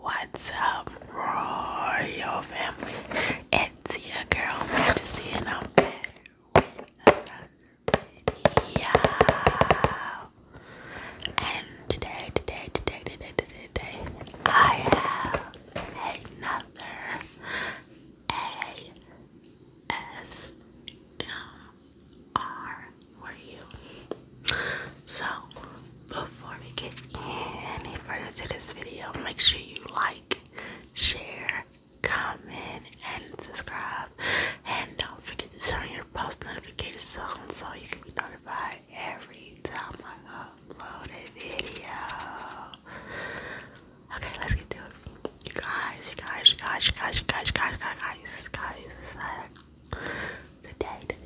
What's up, royal family? It's your girl Majesty, and I'm back and today, today, today, today, today, today, I have another ASMR for you. So, before we get any further to this video, make sure you like, share, comment, and subscribe. And don't forget to turn your post notifications on so you can be notified every time I upload a video. Okay, let's get to it. guys, guys, guys, guys, guys, guys, guys, guys, guys. Today,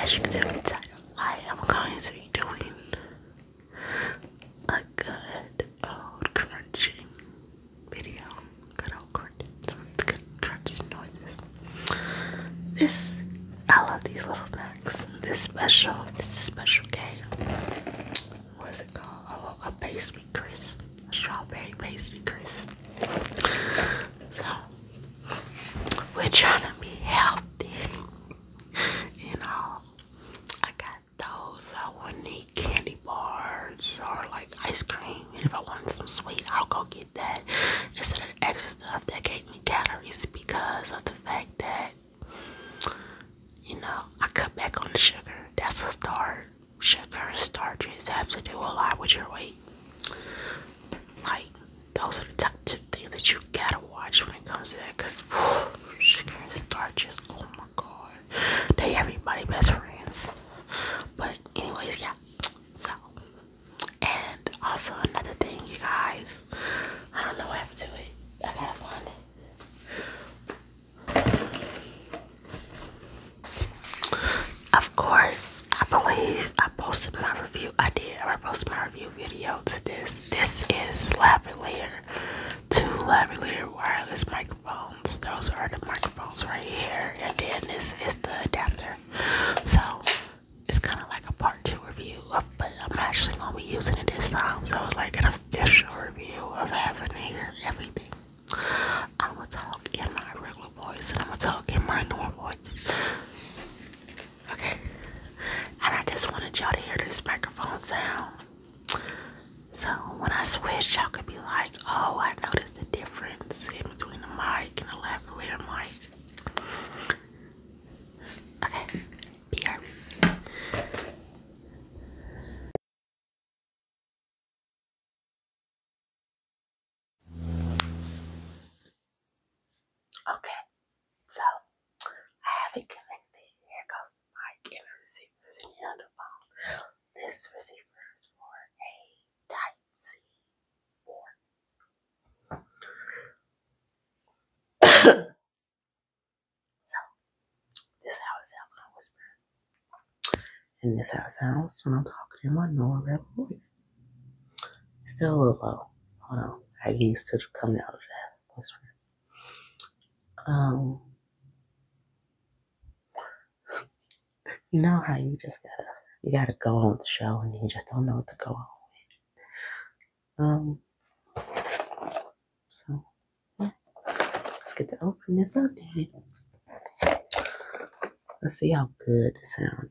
As you can tell from the title, I am going to be doing a good old crunching video. Good old crunching. Some good crunching noises. This, I love these little snacks. This special, this is special game. What is it called? Oh, a pastry crisp. A strawberry pastry crisp. So, we're trying to be healthy. you know, I got those I wouldn't eat candy bars or like ice cream. And if I want some sweet, I'll go get that instead of the extra stuff that gave me calories because of the fact that you know I cut back on the sugar. That's a start. Sugar and starches have to do a lot with your weight. Like those are the top two things that you gotta watch when it comes to that because she can start just. Oh my god, they everybody best friends. But anyways, yeah. So, and also another thing, you guys. I don't know what happened to it. I gotta find it. Of course, I believe I posted my review. I did. I posted my review video to this. This is Slap and Layer two lavalier wireless microphones. Those are the microphones right here, and then this is the adapter. So it's kind of like a part two review, of, but I'm actually gonna be using it this time. So it's like an official review of having here everything. I'm gonna talk in my regular voice, and I'm gonna talk in my normal voice. Okay. And I just wanted y'all to hear this microphone sound. So when I switch, y'all could be like, oh, I noticed the difference in between the mic and the lavalier mic. Okay. BRB. Okay, so I have it connected. Here goes the mic receivers in the This receiver is for a Type C so this is sounds when I whisper, and this is sounds when I'm talking in my normal voice. still a little low. Hold on, I used to come out of that. That's weird. Um, you know how you just gotta you gotta go on the show and you just don't know what to go on with. Um, so let's get to open this up. Let's see how good it sounds.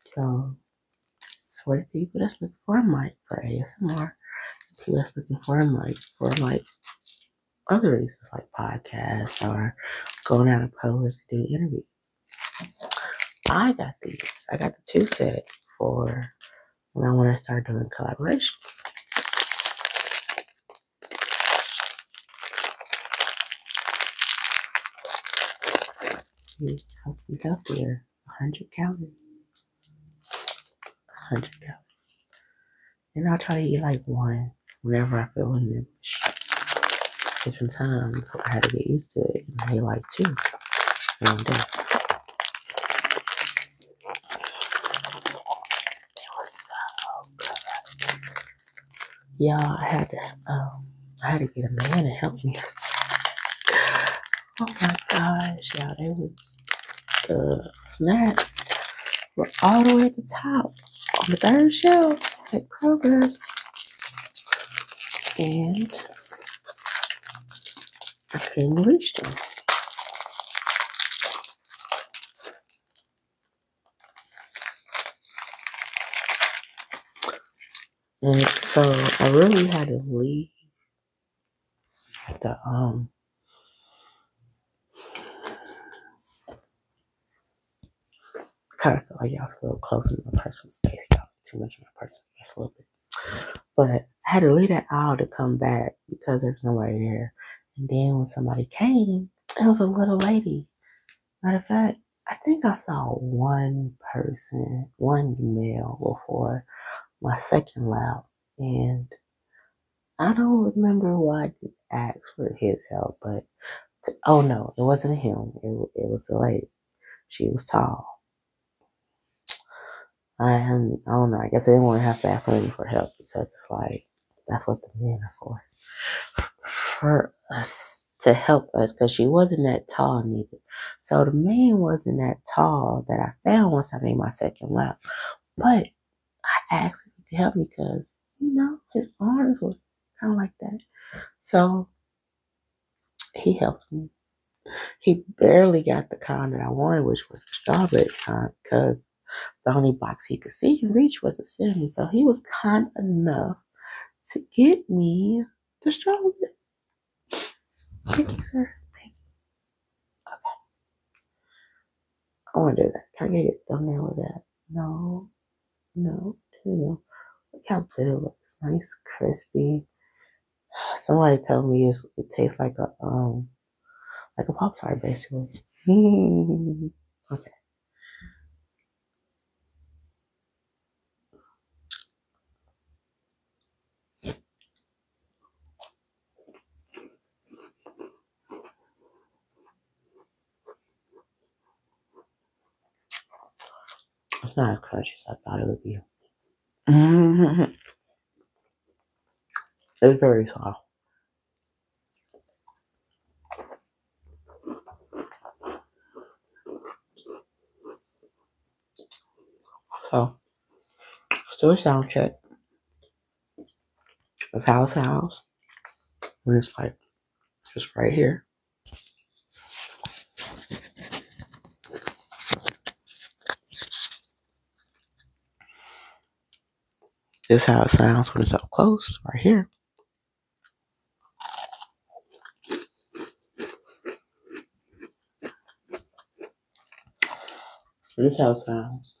So, swear to people that's looking for a mic for ASMR, people that's looking for a mic for like other reasons like podcasts or going out and public to do interviews. I got these. I got the two set for when I want to start doing collaborations. You have Healthy, healthier. 100 calories. 100 calories. And I'll try to eat like one whenever I feel in it, It's been time, so I had to get used to it. And he like too. One It was I had to um I had to get a man to help me. oh my gosh, Yeah, all they was the uh, snacks were all the way at the top on the third shelf at progress, And I couldn't reach them. so I really had to leave at the um kind of feel y'all was a little close in my personal space. you was too much in my personal space a little bit. But I had to leave that aisle to come back because there was nobody there. And then when somebody came, it was a little lady. Matter of fact, I think I saw one person, one male before my second lap. And I don't remember why I asked for his help, but Oh no, it wasn't him. It, it was the lady. She was tall. I am, I don't know. I guess I didn't want to have to ask women for help because it's like that's what the men are for, for us to help us. Because she wasn't that tall neither. So the man wasn't that tall that I found once I made my second lap, but I asked him to help me because, you know, his arms were kind of like that. So he helped me. He barely got the con that I wanted, which was the strawberry con, because the only box he could see and reach was a seven. So he was kind enough to get me the strawberry. Thank you, sir. Thank you. Okay. I want to do that. Can I get a thumbnail of that? No, no, no. Look how good it looks. Nice, crispy. Somebody told me it tastes like a um, like a pop basically. okay. It's not as crunchy as I thought it would be. it's very soft. So, let's do a sound check. It's house house. And it's just right here. This is how it sounds when it's up close, right here. This is how it sounds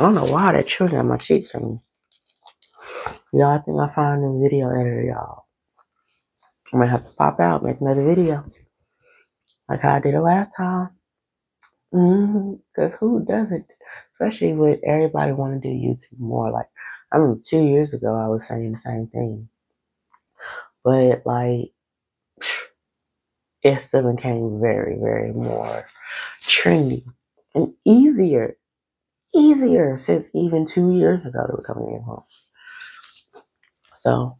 I don't know why that children on my cheeks Y'all, I think I found a video editor, y'all. I am gonna have to pop out, make another video. Like how I did the last time. Because mm-hmm. who doesn't? Especially with everybody wanting to do YouTube more. Like, I mean, two years ago, I was saying the same thing but like it's still became very, very more trendy and easier, easier since even two years ago were coming in homes. So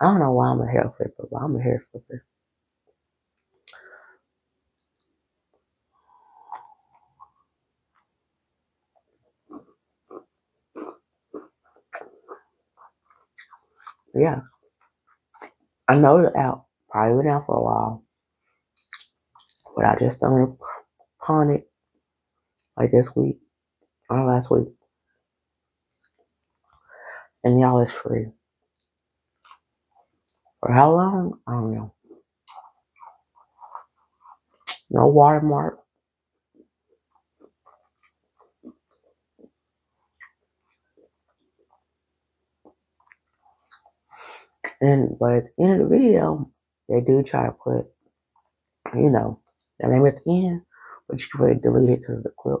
I don't know why I'm a hair flipper, but I'm a hair flipper. Yeah. I know it's out. Probably been out for a while. But I just stumbled pawn it like this week or last week. And y'all is free. For how long? I don't know. No watermark. And but at the end of the video, they do try to put, you know, the name at the end, but you can really delete it because of the clip.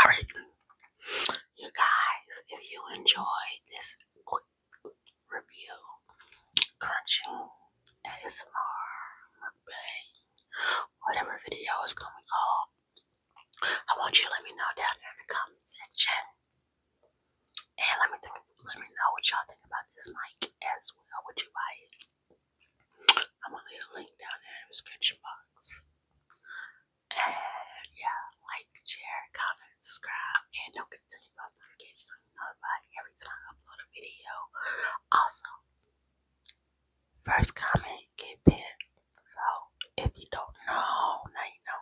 All right, you guys, if you enjoyed this quick review, crunching ASMR, whatever video is going to I want you let me know down there in the comment section, and let me let me know what y'all think about this mic as well. Would you buy it? I'm gonna leave a link down in the description box. And yeah, like, share, comment, subscribe, and don't continue post notifications so you every time I upload a video. Also, first comment get pinned. So if you don't know, now you know.